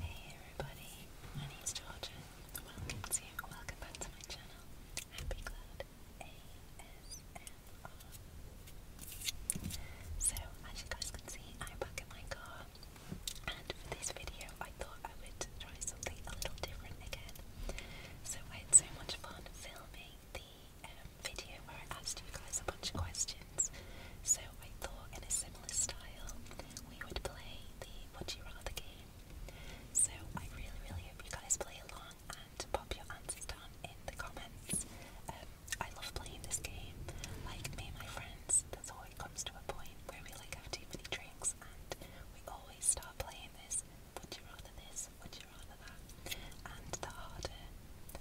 Hey everybody, my name's Georgia. Welcome to, welcome back to my channel, Happy Cloud ASMR. So, as you guys can see, I'm back in my car, and for this video I thought I would try something a little different again. So I had so much fun filming the um, video where I asked you guys a bunch of questions. So I thought in a similar style we would play the Would You Rather game. So I really, really hope you guys play along and pop your answers down in the comments. Um, I love playing this game. Like me and my friends, there's always comes to a point where we like have too many drinks and we always start playing this. Would you rather this? Would you rather that? And the harder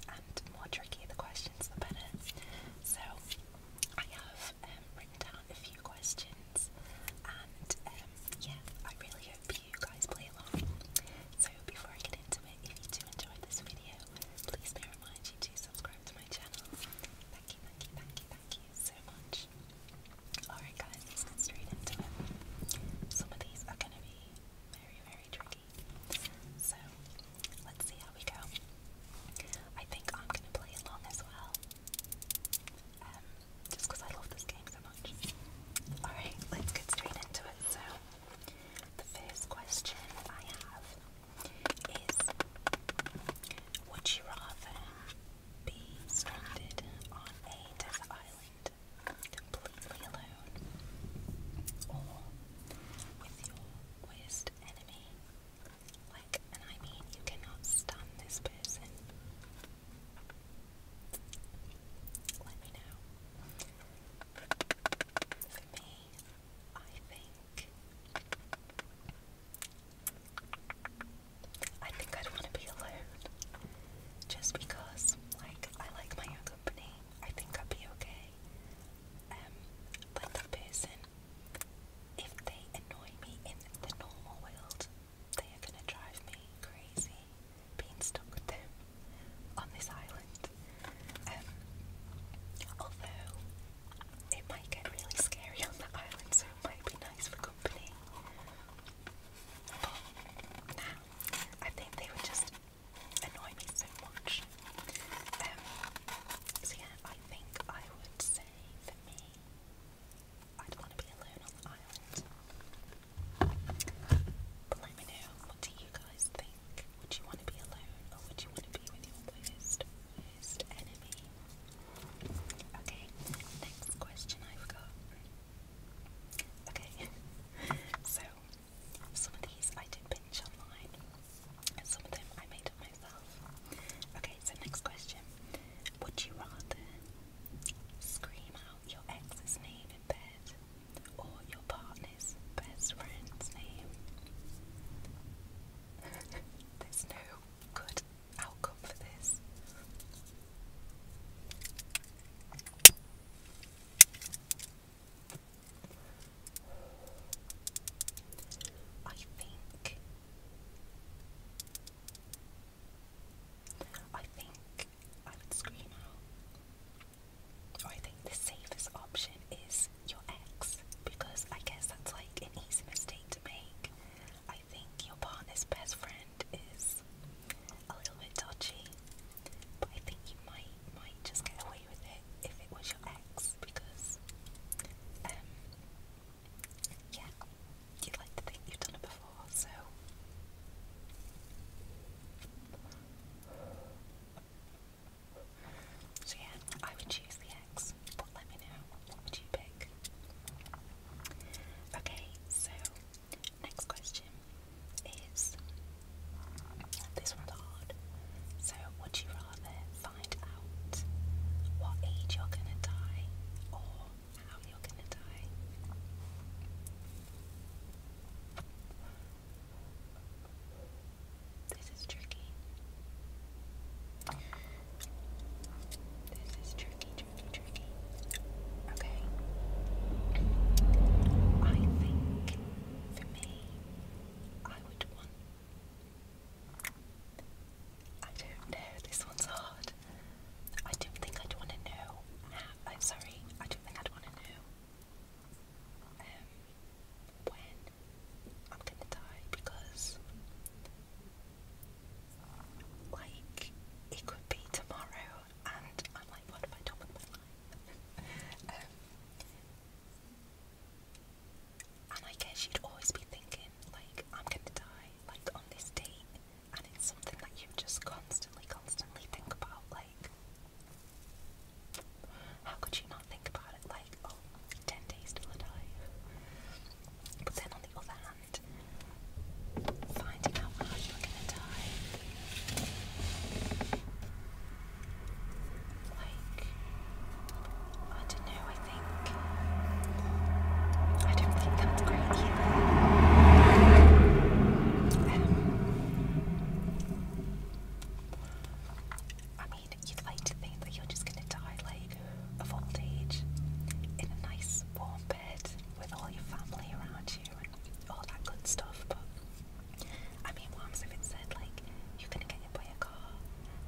and more tricky the questions, the better. So I have um, written down a few questions, and um, yeah, I really hope you guys play along. So before I get into it, if you do enjoy this video, please be reminded you to subscribe to my channel. Thank you, thank you, thank you, thank you so much. Alright guys, let's get straight into it. Some of these are going to be very, very tricky. So Let's see how we go. I think I'm gonna play along as well. Um, just because I love this game so much. Alright, let's get straight into it. So, the first question I have is Would you rather be stranded on a desert island completely alone or with your worst enemy like, and I mean, you cannot stun this person. Let me know. For me, I think. I think I'd want to be alone. Just because, like, I like my own company. I think I'd be okay. but um, that person if they annoy me in the normal world, they are gonna drive me crazy being stuck with them on this island. Um, although it might get really scary on that island, so it might be nice for company. But now, I think they would just annoy me so much. Um, so yeah, I think I would say for me. I don't want to be alone on the island. But let me know, what do you guys think? Would you want to be alone or would you want to be with your worst, worst enemy? Okay, next question I've got. Okay, so some of these I did pinch online. Some of them I made up myself. Okay, so next question. Would you rather scream out your ex's name in bed or your partner's best friend's name? There's no good outcome for this. I think I think I would scream out. I think the safest option is your ex, because I guess that's like an easy mistake to make. I think your partner's best friend is a little bit dodgy, but I think you might might just get away with it if it was your ex, because um, yeah, you like to think you've done it before, so. So yeah, I would choose the X, but let me know, what would you pick? Okay, so, next question is, this one's hard. So, would you rather what age you're gonna die or how you're gonna die. This is tricky. This is tricky, tricky, tricky. Okay. I think for me, I would want I don't know. This one's hard. I don't think I'd want to know. I'm oh, sorry. I don't think I'd want to know. Um, when I'm gonna die because, like, it could be tomorrow, and I'm like, what have I done with my life? Um, and I guess you'd always be thinking, like, I'm gonna die, like, on this date, and it's something that you just constantly, constantly think about, like, how could you not think about it, like, oh, 10 days till I die? But then on the other hand, finding out how you're gonna die like I don't know, I think I don't think that's great either. Um, I mean, you'd like to think that you're just gonna die like of old age in a nice warm bed with all your family around you and all that good stuff, but I mean what if it said like you're gonna get hit by a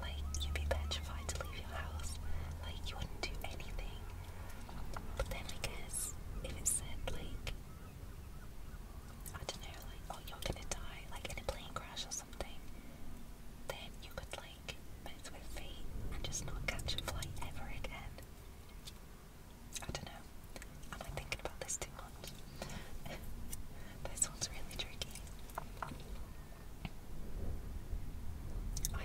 like, you'd be petrified to leave your house. Like, you wouldn't do anything. But then I guess if it said, like, I don't know, like, oh, you're gonna die, like in a plane crash or something, then you could, like, mess with fate and just not catch a flight ever again. I don't know. Am I thinking about this too much? This one's really tricky. I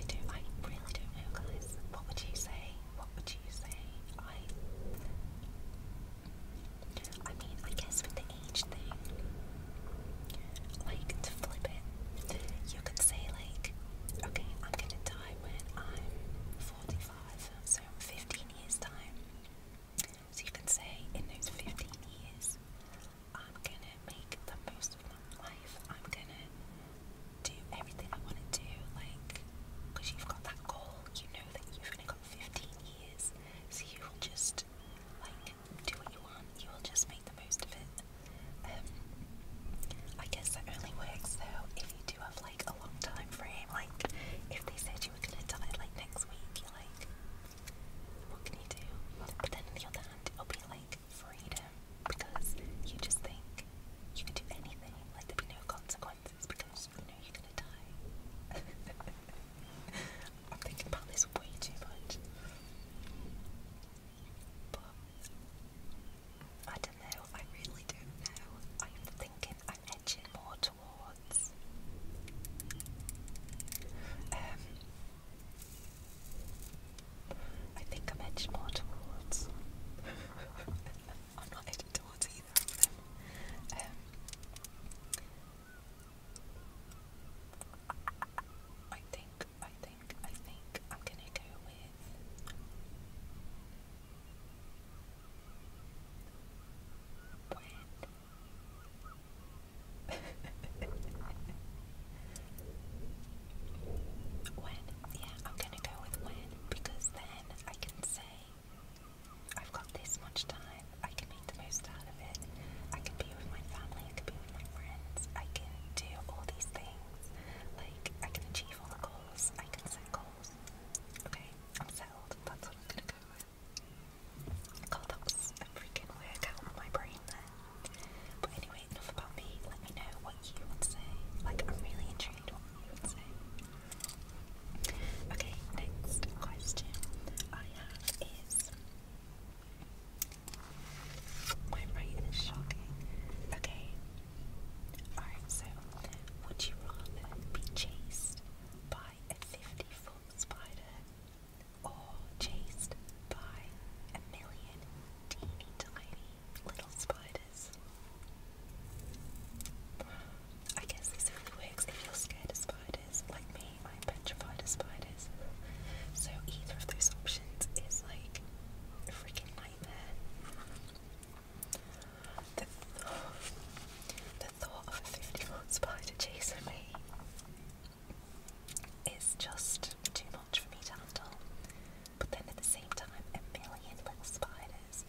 do. I really don't know, guys. What would you say? What would you say? I. I mean, I guess with the age thing, like to flip it, you could say like, okay, I'm gonna die when I'm 45, so 15 years time. So you can say in those 15 years, I'm gonna make the most of my life. I'm gonna do everything I want to do, like, because you've got that goal. You know that you've only got 15 years, so you will just, like, do what you want. You will just make the most of it. Um, I guess that only works though if you do have like a long time frame. Like, if they said you were gonna die like next week, you're like, what can you do? But then on the other it'll be like freedom because you just think you can do anything, like there'll be no consequences because you know you're gonna die. I'm thinking about this way too much. But I don't know, I really don't know. I'm thinking I'm edging more towards um I think I'm edged more towards. I'm not edged towards either Um, I think, I think, I think I'm gonna go with when? Yeah, I'm gonna go with when because then I can say I've got this much time, I can make the most out of it, I can be with my family, I can be with my friends, I can do all these things, like I can achieve all the goals, I can set goals. Okay, I'm settled, that's what I'm gonna go with. God, that was to freaking workout on my brain there. But anyway, enough about me. Let me know what you would say. Like, I'm really intrigued what you would say. Okay, next question I have is. My writing is shocking. Okay. Alright, so would you rather be chased by a 50 foot spider all chased by a million teeny tiny little spiders. I guess this really works if you're scared of spiders. Like me, I'm petrified of spiders. So either of those options is like a freaking nightmare. The, th the thought of a 50 foot chasing me is just too much for me to handle. But then at the same time, a million little spiders,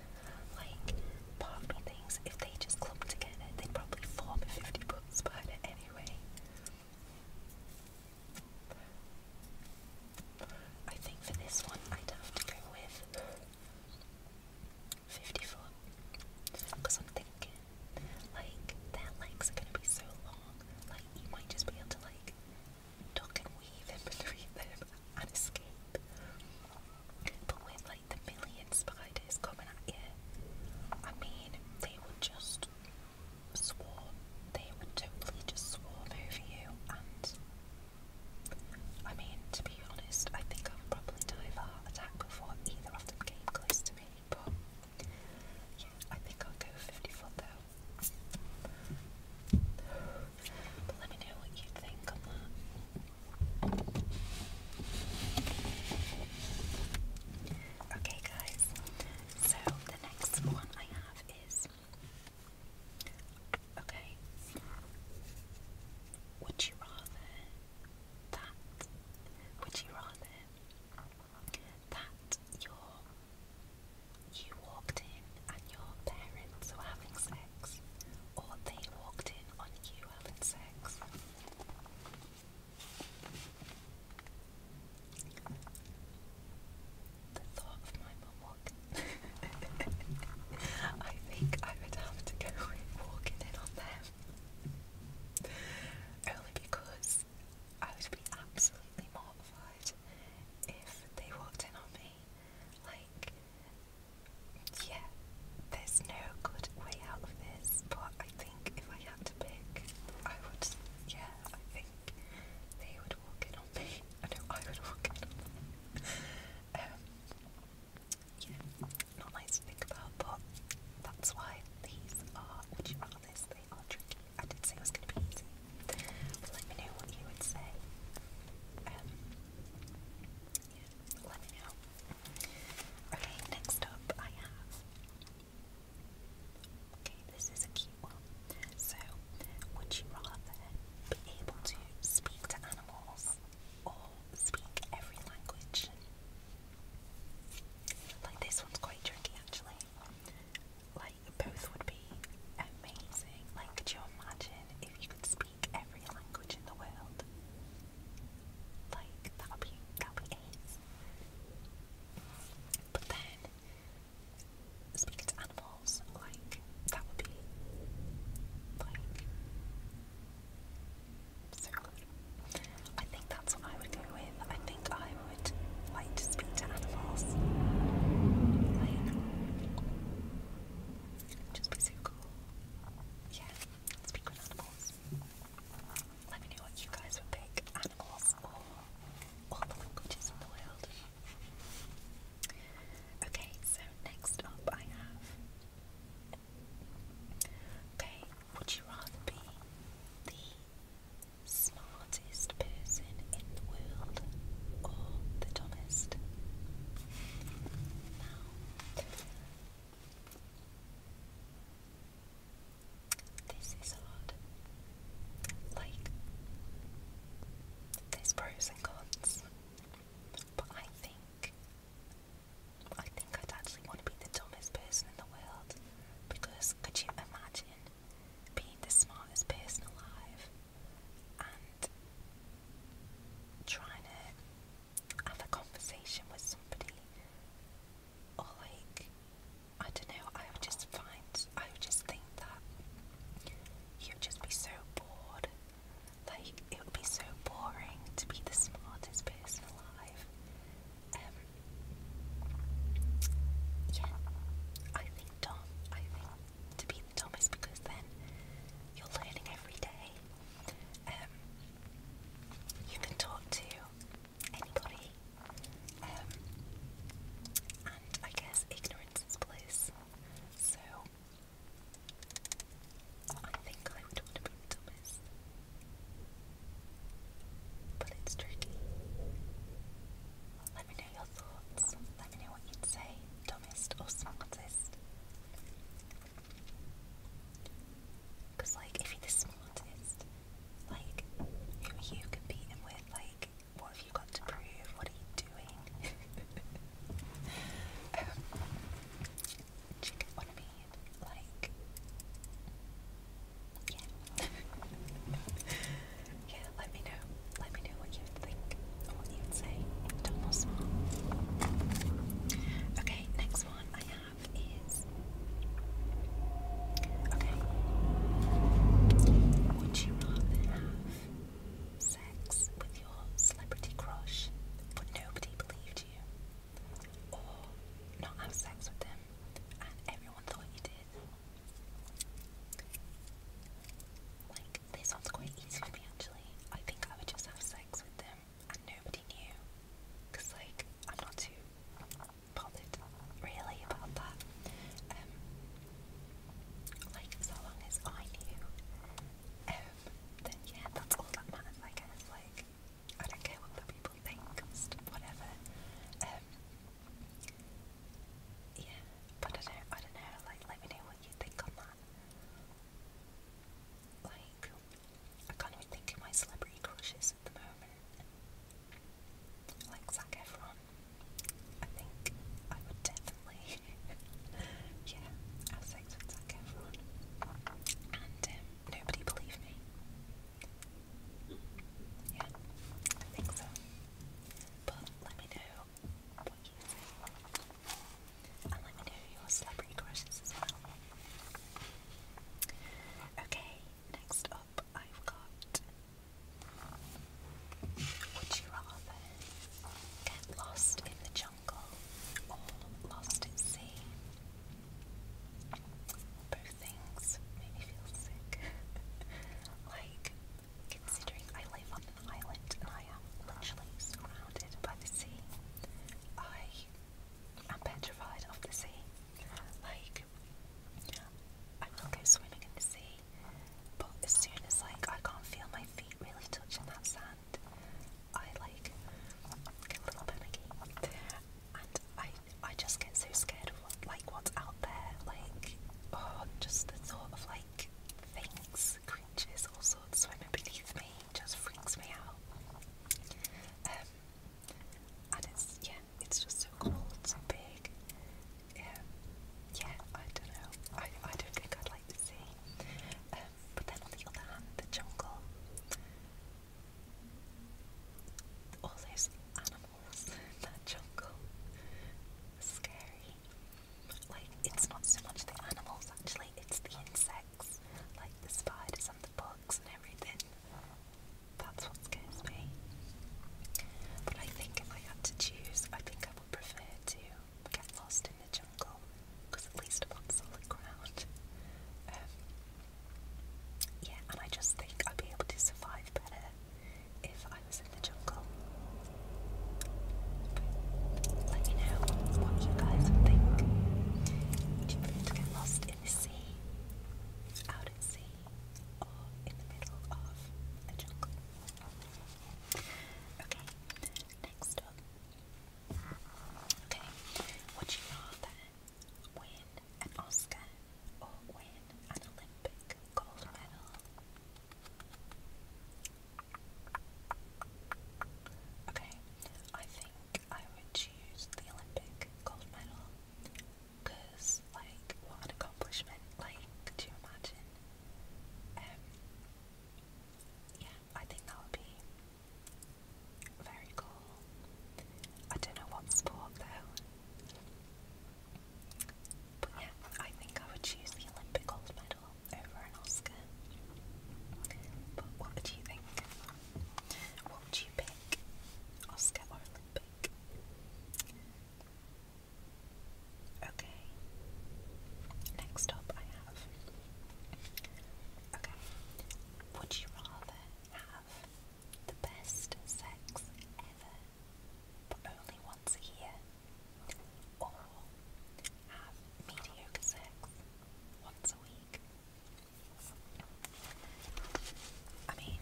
like part of me if they just clumped together, they'd probably form a 50 foot spider anyway. I think for this one, I'd have to go with 50 foot because like, their legs are gonna be so long, like, you might just be able to, like, duck and weave in between them and escape. But with, like, the million spiders coming at you, I mean, they would just swarm. They would totally just swarm over you, and I mean, to be honest, I think I would probably die of a heart attack before either of them came close to me, but. Yeah, I think I'll go 50 foot though. But let me know what you think on Okay, guys, so the next one I have is okay, would you rather that? Would you rather that you you walked in and your parents were having sex, or they walked in on you having sex. The thought of my mum walking. I think I would have to go walking in on them. Only because I would be absolutely mortified if they walked in on me. Like, yeah, there's no good way out of this, but I think if I had to pick, I would, yeah, I think they would walk in on me. I I would walk in on um, yeah, not nice to think about, but that's why these are would you things. I did say it was gonna be easy. Um, okay, next up I have. Okay, this is a cute one. So, would you rather be able to speak to animals or speak every language? Like this one's quite tricky actually. Like both would be amazing. Like could you imagine if you could speak every language in the world? Like that would be that would be But then speaking to animals, like that would be like I think that's what I would go with. I think I would like to speak to animals. just be so cool. Yeah, speak with animals. Let me know what you guys would pick. Animals or all the languages in the world. Okay, so next up I have. Okay, would you rather be the smartest person in the world or the dumbest? Now, this is hard. Like, there's pros and cons, but I think I think I'd actually want to be the dumbest person in the world. Because could you imagine being the smartest person alive and trying to have a conversation with somebody? Or like, I don't know, I would just find, I would just think that you'd just be so bored. Like, it would be so boring to be the smartest person alive yeah, I think Tom, I think to be the Thomas because then you're learning every day. Um, you can talk to anybody, um, and I guess ignorance is bliss. So I think I would want to be the Thomas. But it's tricky. Let me know your thoughts. Let me know what you'd say, dumbest or smartest. Because, like, if you're the smartest, like, who are you competing with? Like, what have you got to prove? What are you doing? Um, do you get what I mean? Like, yeah. yeah, let me know. Let me know what you think what you'd say. Dumb or small. Okay, next one I have is Okay. Would you rather have sex with your celebrity crush but nobody believed you? Or not have sex with them and everyone thought you did. Like, this one's quite easy for me actually. I think I would just have sex with them and nobody knew. like, I'm not too bothered really about that. Um, like, so long as I knew, um, then yeah, that's all that matters, I guess. Like, I don't care what the people think, whatever. Um, yeah, but I don't, I don't know, like, let me know what you think on that. Like, I can't even think of my celebrity crushes at the moment. Like Zac Efron, I think I would definitely, yeah, have sex with Zac Efron. And, um, nobody believe me. Yeah, I think so. But let me know And let me know your celebrity crushes as well. Okay, next up I've got Would you rather get lost in the jungle or lost at sea? other things made me feel sick. like, considering I live on an island and I am literally surrounded by the sea, I am petrified of the sea. Like, I will go swimming in the sea, but as soon as like I can't feel my feet really touching that sand, I like get a little panicky and I I just get so scared of what, like what's out there, like oh just the thought of like things, creatures, all sorts swimming beneath me just freaks me out. Um, and it's yeah, it's just so cool, it's so big. Um, yeah, I don't know. I I don't think I'd like the sea. Um, but then on the other hand, the jungle all those animals that jungle. Scary. Like, it's not so much the animals actually, it's the insects, like the spiders and the bugs and everything. That's what scares me. But I think if I had to choose, I think I would prefer to get lost in the jungle because at least I'm on solid ground. Um, yeah, and I just think I'd be able to survive better if I was in the jungle. let me know what you guys think. Would you prefer to get lost in the sea, out at sea, or in the middle of a jungle? Okay, next up. Okay, would you rather win an Oscar or win an Olympic gold medal. Okay, I think I would choose the Olympic gold medal because, like, what an accomplishment! Like, do you imagine? Um, yeah, I think that would be very cool. I don't know what sport though. But yeah, I think I would choose the Olympic gold medal over an Oscar. But what would you think? What would you pick? Oscar or Olympic? Okay. Next up I have Okay. Would you rather have the best sex ever, but only once a year. Or have mediocre sex once a week. I mean,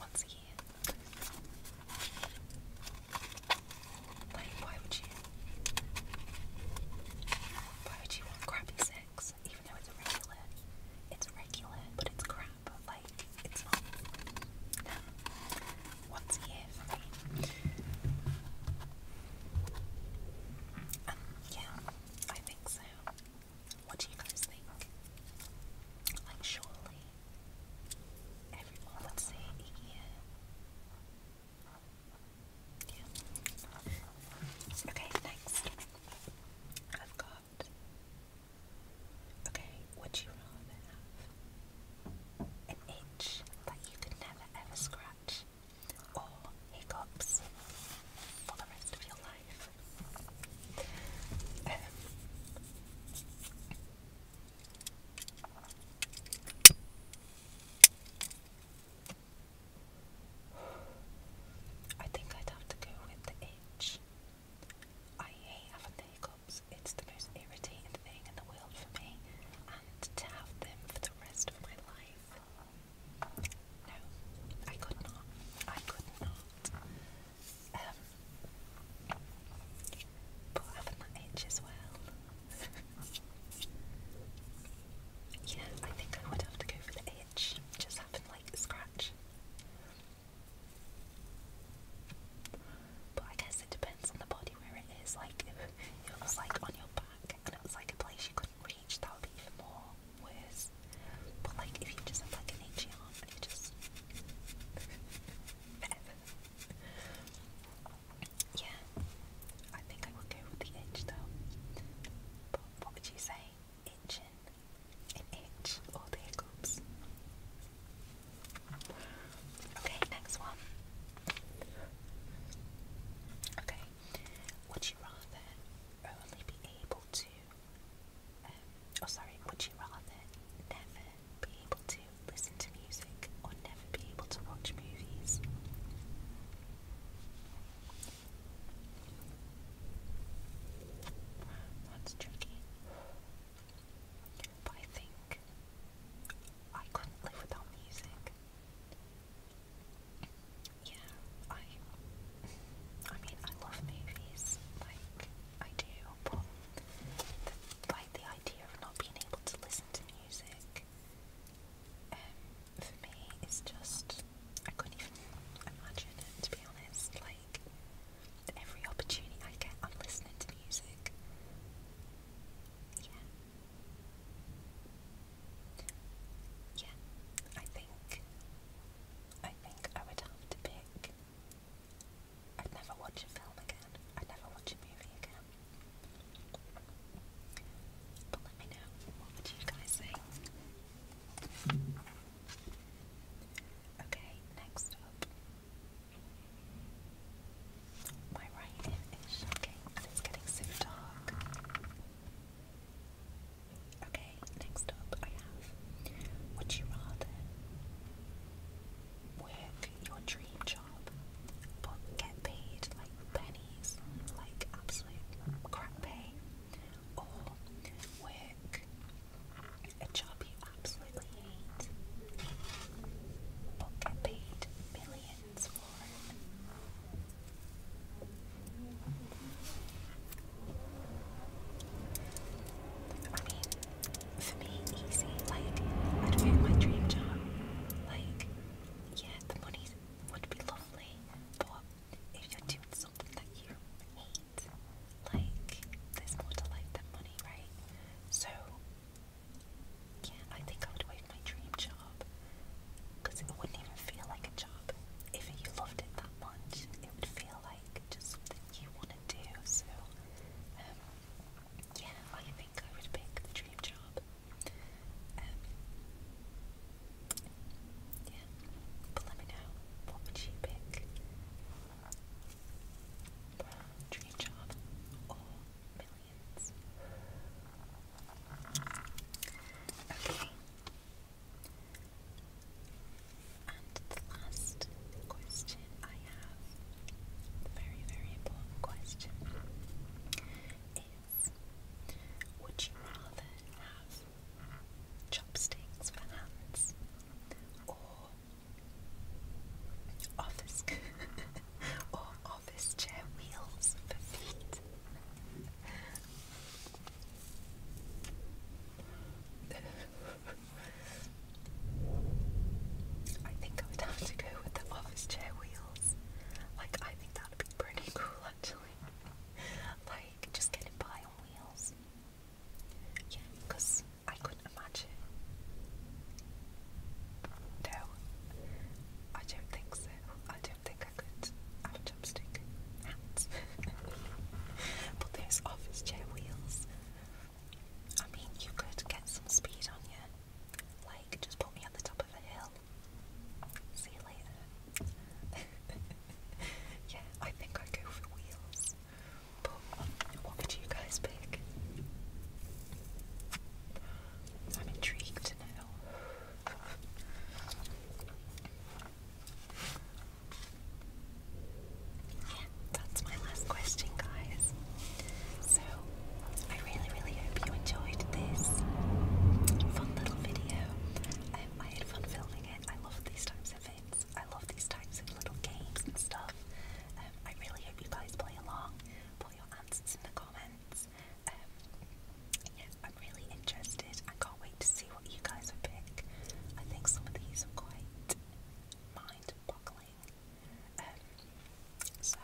once a year. Like, why would you? Why would you want crappy sex even it's regular, it's regular, but it's crap. Like it's not. once a year for me. Um, yeah, I think so. What do you guys think? Like, surely everyone would say yeah. Yeah. Okay, next. I've got out. Okay, would you rather have an itch that you could never ever scratch or hiccups for the rest of your life? I think I'd have to go with the itch. I hate having the hiccups. It's the most irritating thing in the world for me, and to have them for the rest of my life. No, I could not. I could not. Um, but having that itch as well. yeah, I think I would have to go for the just having like scratch. But I guess it depends on the body where it is. Like if it was like on your back and it was like a place you couldn't reach, that would be even more worse. But like if you just have like an itchy Yeah. I think I would go with the itch though. But what would you say? Itching an H or oh, the hiccups. Okay, next one. Okay, would you rather only be able to, um, oh sorry, would you rather never be able to listen to music or never be able to watch movies? That's tricky. But I think I couldn't live without music. Yeah, I I mean I love movies, like I do, but like the idea of not being able to listen to music um for me is just I couldn't even imagine to be honest. Like, every opportunity I get, I'm listening to music. Yeah. Yeah, I think. I think I would have to pick. I'd never watch a film again. I'd never watch a movie again. But let me know what would you guys think. Okay, next up. My writing is shocking it's getting so dark. Okay, next up I have Would you rather work your dream job but get paid like pennies, like absolute crap pay, or work a job you absolutely hate, but get paid millions for I mean, for me, easy. Like, I'd work my dream job. Like, yeah, the money would be lovely, but if you're doing something that you hate, like there's more to life than money, right? So yeah, I think I would waive my dream job because it wouldn't even feel like a job. If you loved it that much, it would feel like just something you want to do. So um, yeah, I think I would pick the dream job. Um, yeah. But let me know, what would you pick? Dream job or millions? Okay. And the last question I have, very, very important question, is would you rather have chopsticks for hands, or office or office chair wheels for feet. I think I would have to go with the office chair wheels. Like, I think that would be pretty cool actually. like, just get by on wheels. Yeah, because I couldn't imagine. No, I don't think so. I don't think I could have a chopstick hands. but those office chair wheels, I mean, you could get some speed on you. Like, just put me at the top of a hill. See you later. yeah, I think I go for wheels. But what would you guys pick? I'm intrigued to know. Yeah, that's my last question, guys. So, I really, really hope you enjoyed this fun little video. Um, I had fun filming it. I love these types I love these types of little games and stuff. Um, I really hope you guys play along. Put your answers in the comments. Um, I'm really interested. I can't wait to see what you guys will pick. I think some of these are quite mind-boggling. Um, so,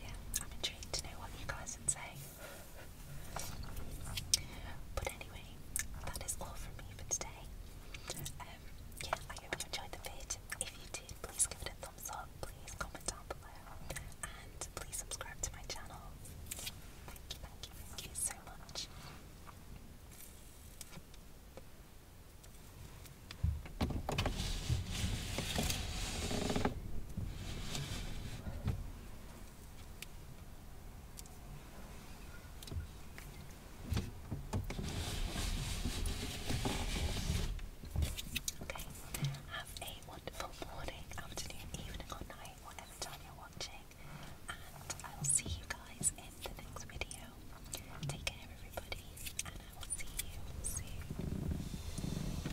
yeah, I'm intrigued to know what you guys would say. But anyway, that is all from me for today. Um, yeah, I hope you enjoyed the vid. If you did, please give it a thumbs up. Please comment down below, and please subscribe to my channel. Thank you, thank you, thank you so much. Okay, have a wonderful morning, afternoon, evening, or night, whatever time you're watching, and I'll see you guys in the next video. Take care, everybody, and I will see you soon.